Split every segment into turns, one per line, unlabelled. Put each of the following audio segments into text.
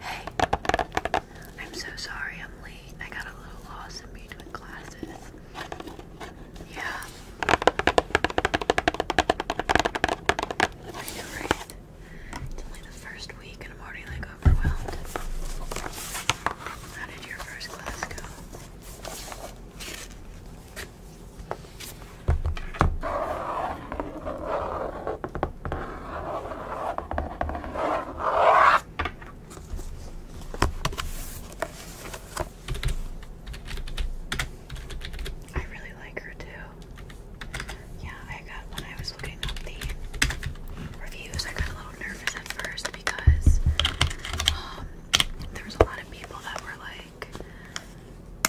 Hey, I'm so sorry I'm late. I got a little lost in between classes. Yeah. I know, right? It's only the first week and I'm already like overwhelmed. How did your first class go? I really like her too. Yeah, I got when I was looking up the reviews, I got a little nervous at first because um, a lot of people that were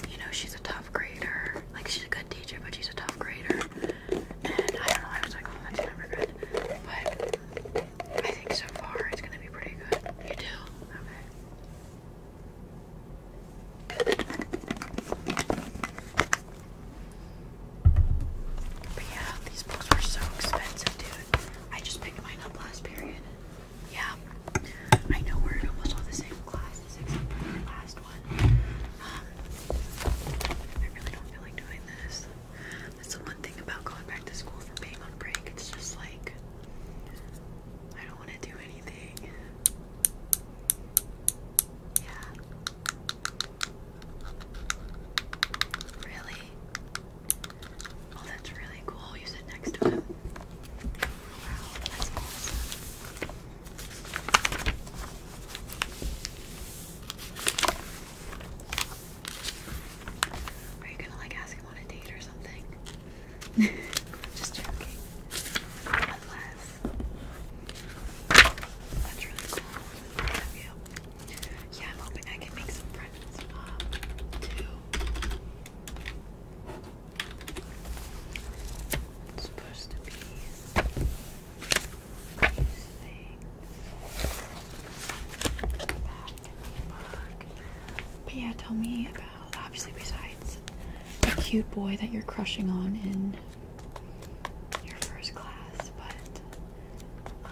you know, she's a tough grader. Like, she's a good teacher, but she's a tough grader. And I don't know, I was like, oh, that's never good. But I think so far it's gonna be pretty good. You do? Okay. But yeah, these books were so expensive, dude. I just picked mine up last period yeah, I know we're almost all the same classes except the last one. Um, I really don't feel like doing this. That's the one thing about going back to school for being break. It's just like I don't want to do anything. Yeah. Really? Oh, that's really cool. You sit next to him. Are you gonna like ask him on a date or something? Just joking. Unless. That's really cool. love you. Yeah, I'm hoping I can make some but yeah, tell me about obviously besides the cute boy that you're crushing on in your first class, but um,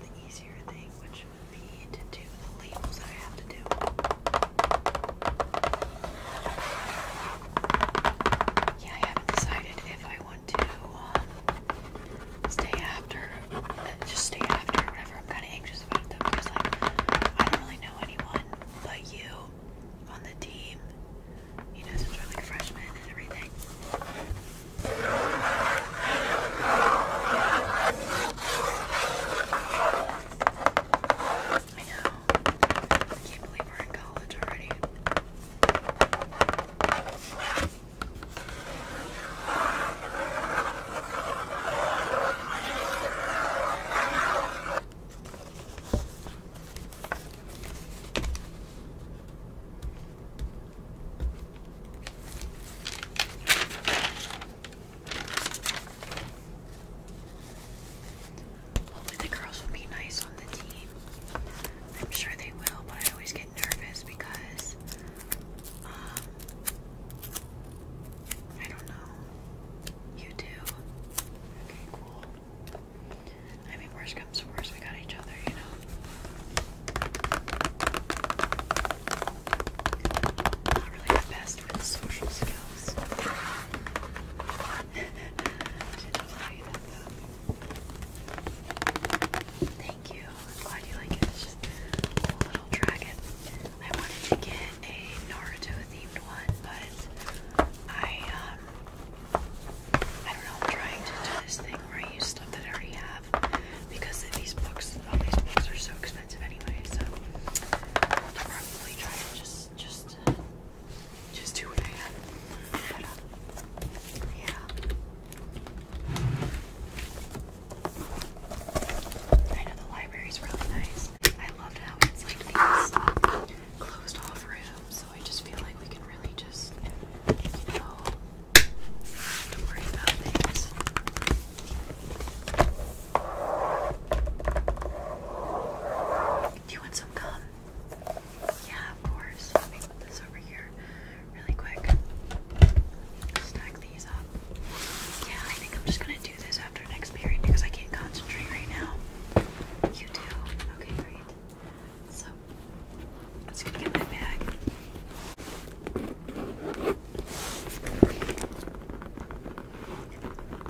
the easier thing, which would be to do the labels I have to do. Yeah, I haven't decided if I want to um, stay after, uh, just stay after or whatever. I'm kind of anxious about them because, like, I don't really know anyone but you on the team. You know, since we're like freshmen and everything. I know. I can't believe we're in college already. Hopefully the girls will be nice on the team. I'm sure they will, but I always get nervous because um I don't know. You do. Okay, cool. I mean worse comes to worse, we got each other, you know. Not really the best with social skills. Thank you. I'm glad you like it. little dragon. I wanted to get a Naruto themed one, but I um I don't know, trying to do this thing where I use stuff that I already have because these books, all these books are so expensive anyway. So I'll probably try to just, just, just do what uh, yeah. I know the library's really nice. I loved how it's uh, closed off rooms, so I just feel like we can really just, you know do you want some gum? Yeah, of course. put this over here really quick. Stack these up. Yeah, I think I'm just gonna do this after next period because I can't concentrate right now. You do? Okay, great. So Let's go get my bag.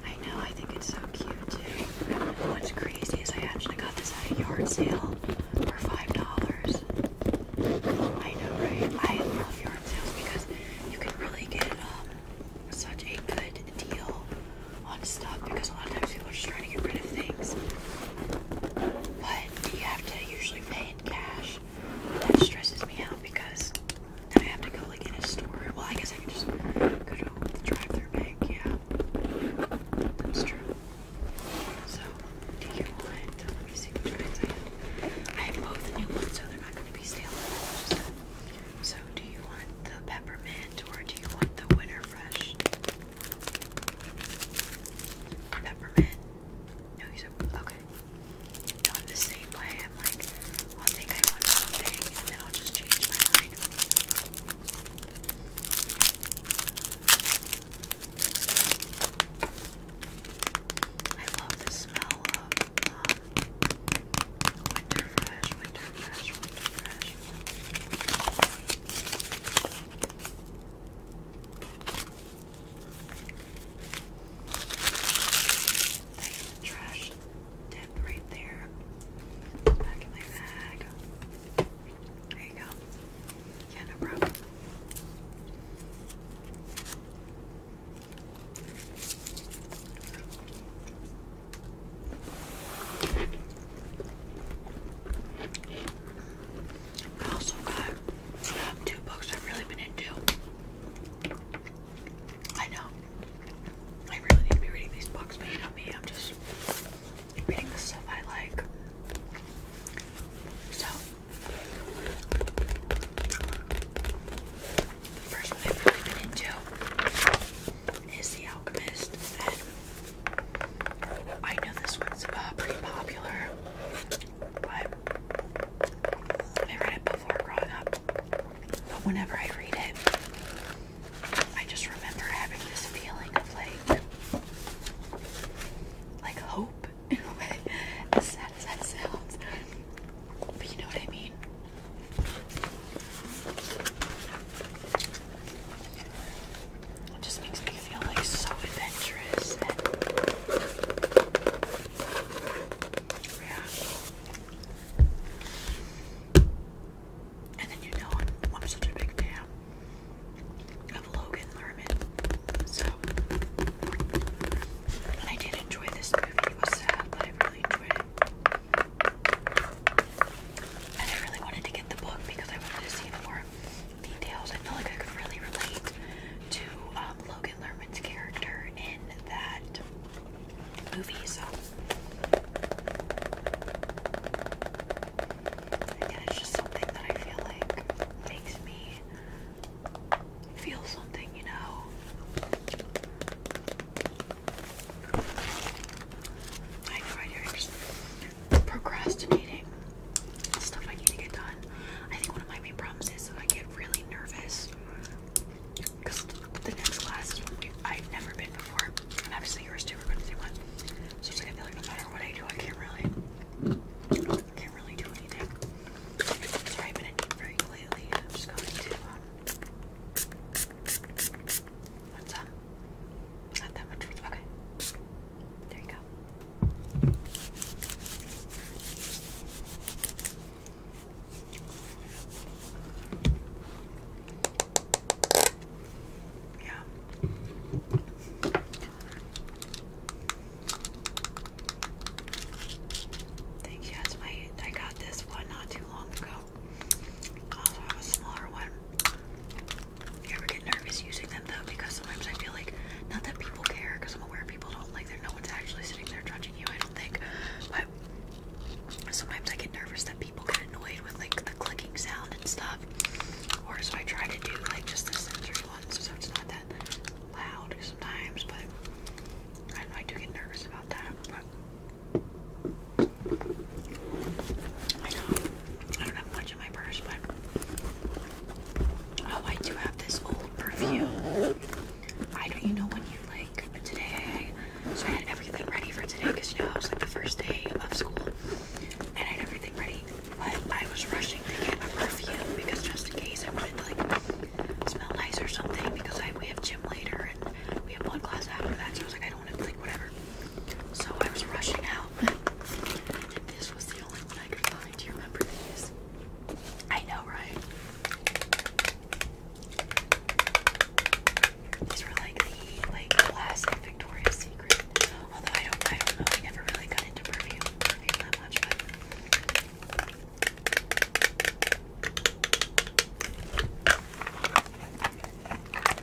I know, I think it's so cute too. What's crazy is I actually got this at a yard sale for five dollars. I know, right? I love yard sales because you can really get um, such a good deal on stuff because a lot of times people are just trying to get rid of things. But you have to usually pay in cash that stresses me out because now I have to go like in a store. Well, I guess I can just go to the drive-through bank. Yeah, that's true. So, do you want? Let me I have. both new ones, so they're not going to be stale. so, do you want the peppermint or do you want the winter fresh? Peppermint. No, he's a, okay. the same way. I'm like, i think I want something and then I'll just change my mind. I love the smell of um, winter fresh, winter fresh, winter fresh trash tip right there. Back in my bag. There you go. Yeah, no problem. I also got um, two books I've really been into. I know. I really need to be reading these books, but you know me, I'm just reading the stuff I like. So, the first one I've really been into is The Alchemist. I know this one's uh, pretty popular but I read it before growing up. But whenever I read it, I just remember having this feeling of like, like hope in a way. As sad as that sounds, but you know what I mean. It just makes me feel like so adventurous. yeah. And then you know I'm, such a big fan of Logan Lerman. So I did enjoy this movie. It was sad, but I really enjoyed it. And I really wanted to get the book because I wanted to see more details. I feel like I could really relate to um, Logan Lerman's character in that movie, so again, it's just something that I feel like makes me feel something, you know. I have procrastinating stuff I need to get done. I think one of my main problems is that I get really nervous because the next class is one we, I've never been before, and obviously yours too. We're going to do one, so it's like I feel like no matter what I do, I can't really, can't really do anything. Sorry, I've been in deep break lately. I'm just going to. Um, What's up? Not that much. Okay. There you go. Yeah. Thank you. That's my. I got this one not too long ago. Also have a smaller one. You ever get nervous using them though? Because sometimes I feel like, not that people care, because I'm aware people don't like that no one's actually sitting there judging you, I don't think. But sometimes I get nervous that people get annoyed with like the clicking sound and stuff. Or so I try to do like just the sensory ones so it's not that loud sometimes, but I do know, get nervous about that, but I don't have much my purse, but oh, I do have this old perfume. I don't, you know, when you like today, so I had everything ready for today because you know it was like the first day of school, and I had everything ready, but I was rushing to get a perfume because just in case I wanted to like smell nice or something because I we have gym later and we have one class after that, so I was like I don't want to like whatever. So I was rushing out, this was the only one I could find. Do you remember these? I know, right? These were like the like classic Victoria's Secret. Although I don't, I don't know. I never really got into perfume, perfume that much, but.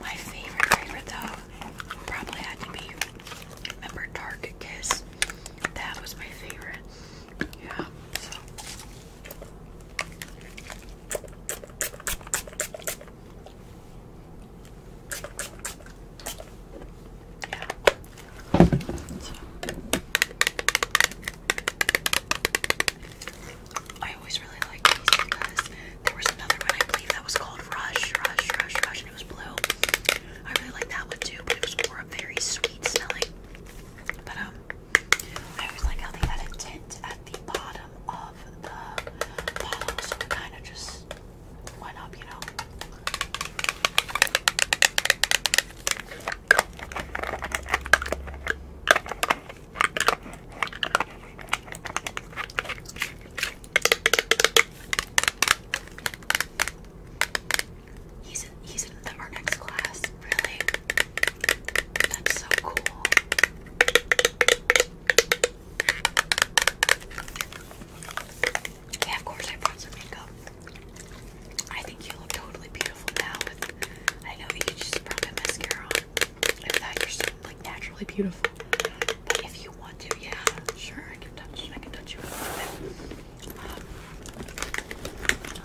My favorite favorite though probably had to be remember Target Kiss. That was my favorite. Yeah. So. Yeah. So. I always really like these because there was another one I believe that was called Rush, Rush, Rush, Rush, and it was blue. I really like that one too, but it was more very sweet smelling. But um, I always like how they had a tint at the bottom of the bottle, so it kind of just went up, you know. He's in, he's in the, our next class, really? That's so cool. Yeah, of course I brought some makeup. I think you look totally beautiful now I know you just brought mascara on. If that, you're so like naturally beautiful. But if you want to, yeah, sure, I can touch. I can touch you a little bit.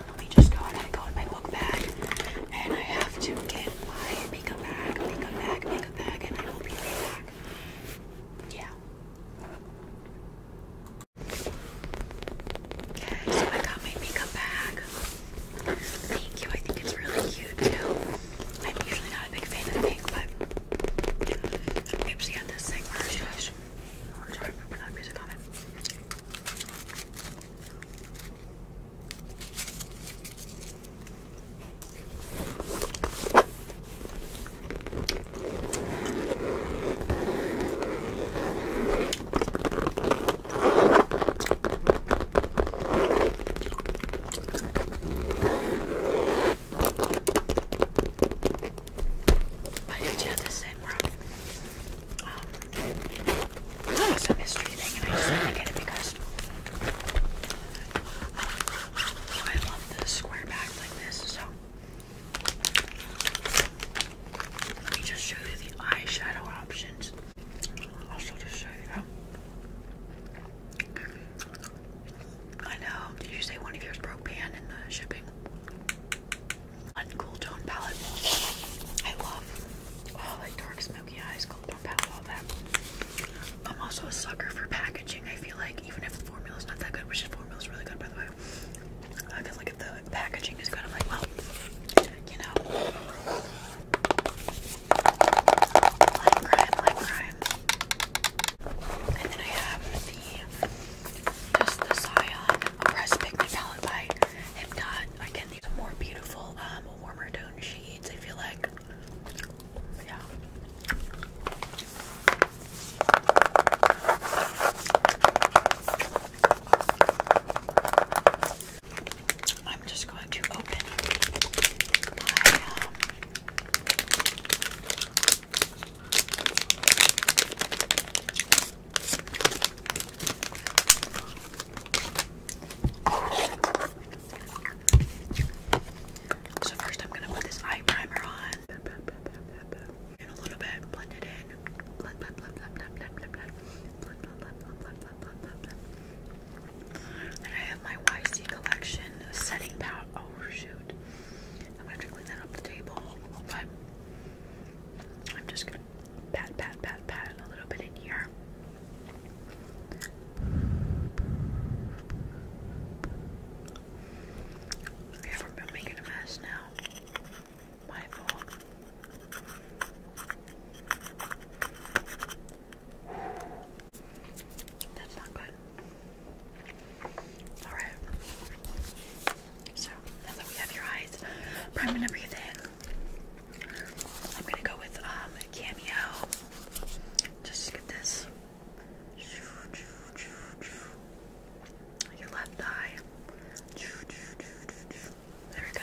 let me just go ahead and go in my book bag, and I have to get my makeup bag, makeup bag, makeup bag, and I will be right back. Yeah. Okay, so I got my makeup bag. Thank you. I think it's really cute too. I'm usually not a big fan of pink, but Gibbsy had this thing I'm not music on it. But if you do the eh, same room, um, it's almost and I just want get it because I love the square bags like this, so let me just show you the eyeshadow options. I'll show you I know. Did you say one of yours broke pan in the shipping? Uncool tone palette. I love all oh, like dark smoky eyes, cool tone palette, all that. I'm also a sucker for packaging. I feel like even if the formula is not that good, which the formula's really good by the way. I feel like if the packaging is kind of like, well, you know, Lime crime, lime And then I have the just the Scion Press Pigment Palette by Hypnot. Again, these more beautiful, um, warmer tone shades. I feel like, I'm just going to open my so first I'm gonna put this eye primer on in a little bit, blend it in. I have my YC collection setting powder. Oh shoot! I'm gonna have clean that up the table, but I'm just gonna pat, pat, pat, pat a little bit in here. Okay, we're making a mess now. My fault. That's not good. Alright. So, now that we have your eyes primed and everything, I'm gonna go with um cameo. Just get this. Your left eye. There we go.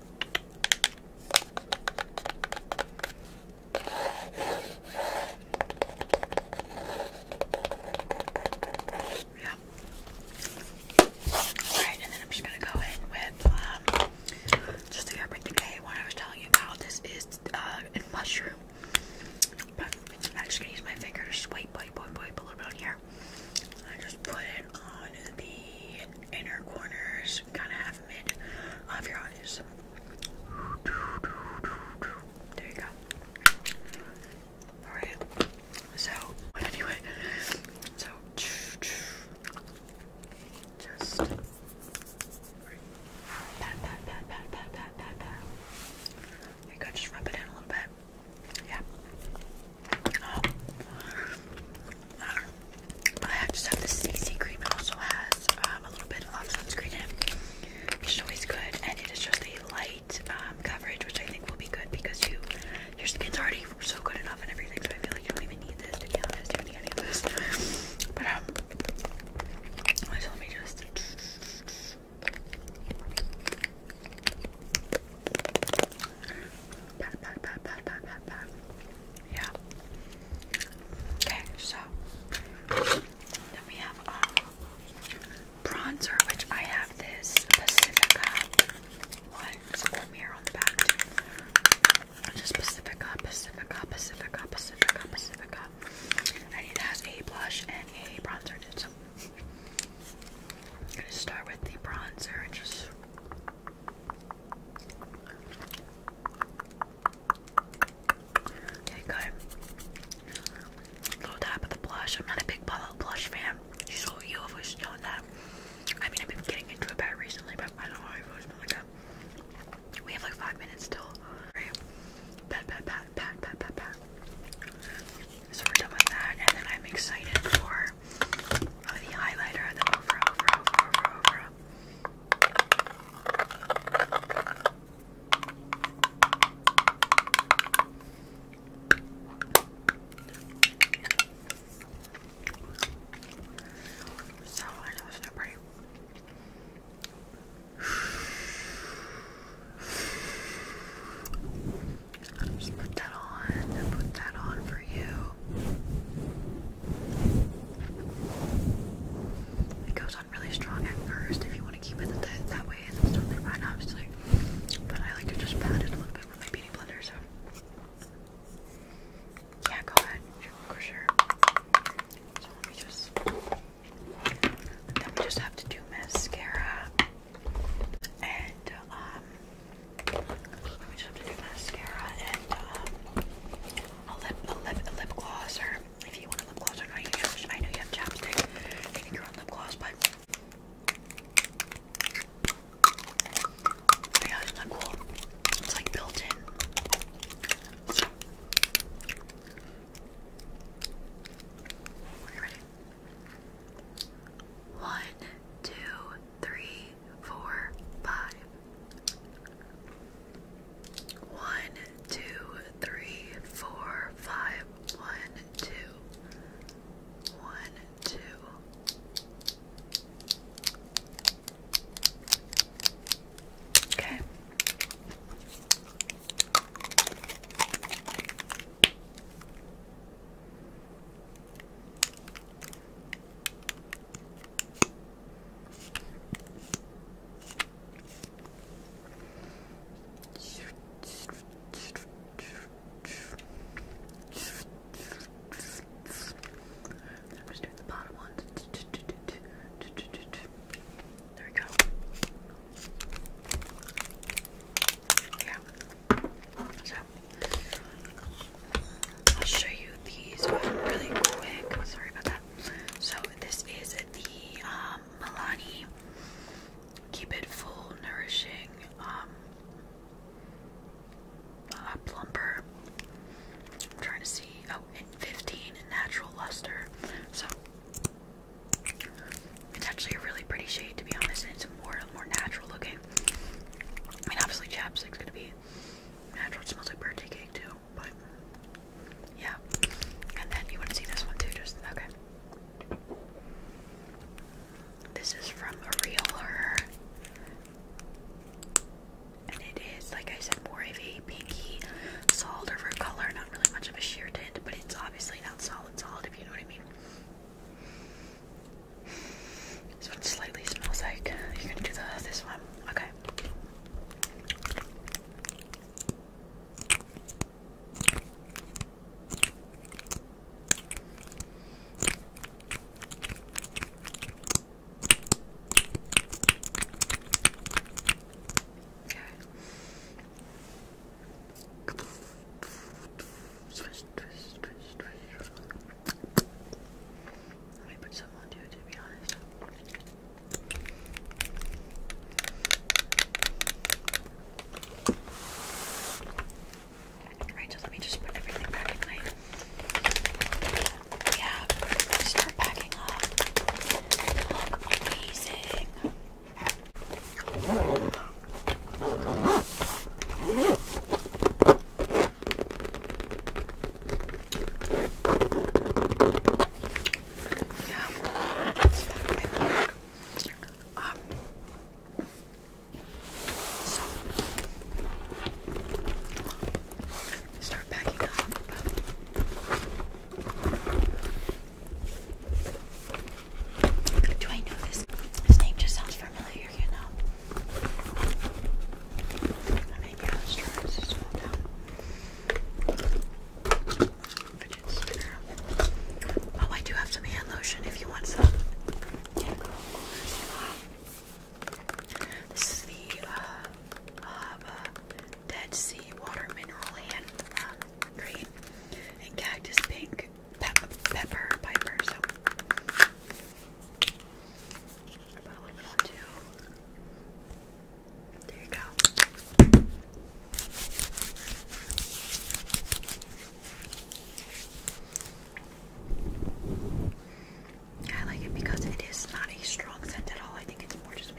Yeah. Alright, and then I'm just gonna go in with um just the herb decay one I was telling you about. This is uh in mushroom. I'm just gonna use my finger to swipe, wipe, wipe, wipe a little bit on here. I just put it on the inner corners, kind of half of your eyes. There you go. Alright, so, anyway, so just pat, pat, pat, pat, pat, pat, pat, pat. There you go, just rub it in a little bit. Yeah. Oh. but I just have this CC cream. It also has um, a little bit of sunscreen in which is always good. And it is just a light um, coverage, which I think will be good because you your skin's already so good enough and everything. So I feel like you don't even need this to be don't need any of this. But um, so let me just. Pat, pat, pat, pat, pat, pat, pat. Yeah. Okay, so then we have um, bronzer, which I have this Pacifica one. It's mirror on the back Just Pacifica, Pacifica, Pacifica, Pacifica, Pacifica. And it has a blush and a bronzer. I'm gonna start with the bronzer just Okay, Little dab of the blush. I'm not a big blush fan. Just so you have always known that. I mean, I've been getting into it better recently, but I don't know I've always been like that. Uh, we have like five minutes still. Pat, pat, pat, pat, pat, pat, pat. So we're done with that, and then I'm excited for Oh, or the highlighter, then over, over, over, over. So I know it's not pretty. Just put that on and put that on for you. It goes on really strong at first. If you want to keep it that, way, it's totally fine, obviously. But I like to just pat it a little bit with my beauty blender, so. Yeah, go ahead. sure. So let me just. Then we just have to do mascara and um, let just have to do mascara and um, a lip, a lip, a lip gloss, if you want a lip gloss I know you have chapstick. think you're on lip gloss, but yeah, isn't cool? It's like built in. One, two, three, four, five. One, two, three, four, five. One, two. One, two. Okay. I'm just doing the bottom ones. There we go yeah. So I'll show you these really quick. Oh, sorry about that. So this is the um, Milani Keep It Full Nourishing um, uh, Plumper. trying to see. Oh, 15 Natural Luster. So it's actually a really pretty shade to be honest, and it's more more natural looking. I mean, obviously chapstick's gonna be natural. It smells like birthday cake too, but yeah. And then you want to see this one too, just okay. This is from a realer, and it is like I said, more of a pinky, solid over color. Not really much of a sheer tint, but it's obviously not solid, solid if you know what I mean. This one slightly smells like. You're gonna do the, this one. Okay. Okay. Twist, twist, twist, twist. Let me put some on you to be honest. Alright, so let me just put everything back in my yeah, start packing up. Look amazing. Um, so, start packing up. Do I know this? This name just sounds familiar, you know. Oh, I do have some hand lotion if you want some. this is the uh, uh, Dead Sea Water Mineral Hand uh, green, and cactus pink, pep pepper, piper. So I put a little bit on too. There you go. I like it because it is not a strong scent at all. I think it's more just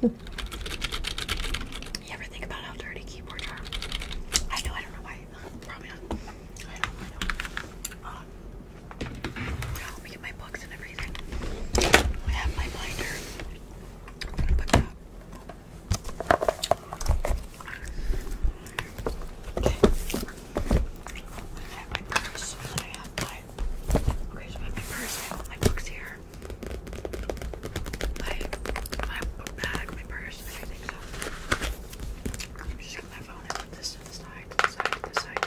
you ever think about how dirty keyboards are? I know, I don't know why. now uh, let get my books and everything. I have my binder. Okay. I have my purse. I have my. Okay, so I have my purse. I have all my books here. My my bag, my purse, everything. I'm just gonna my phone to the side.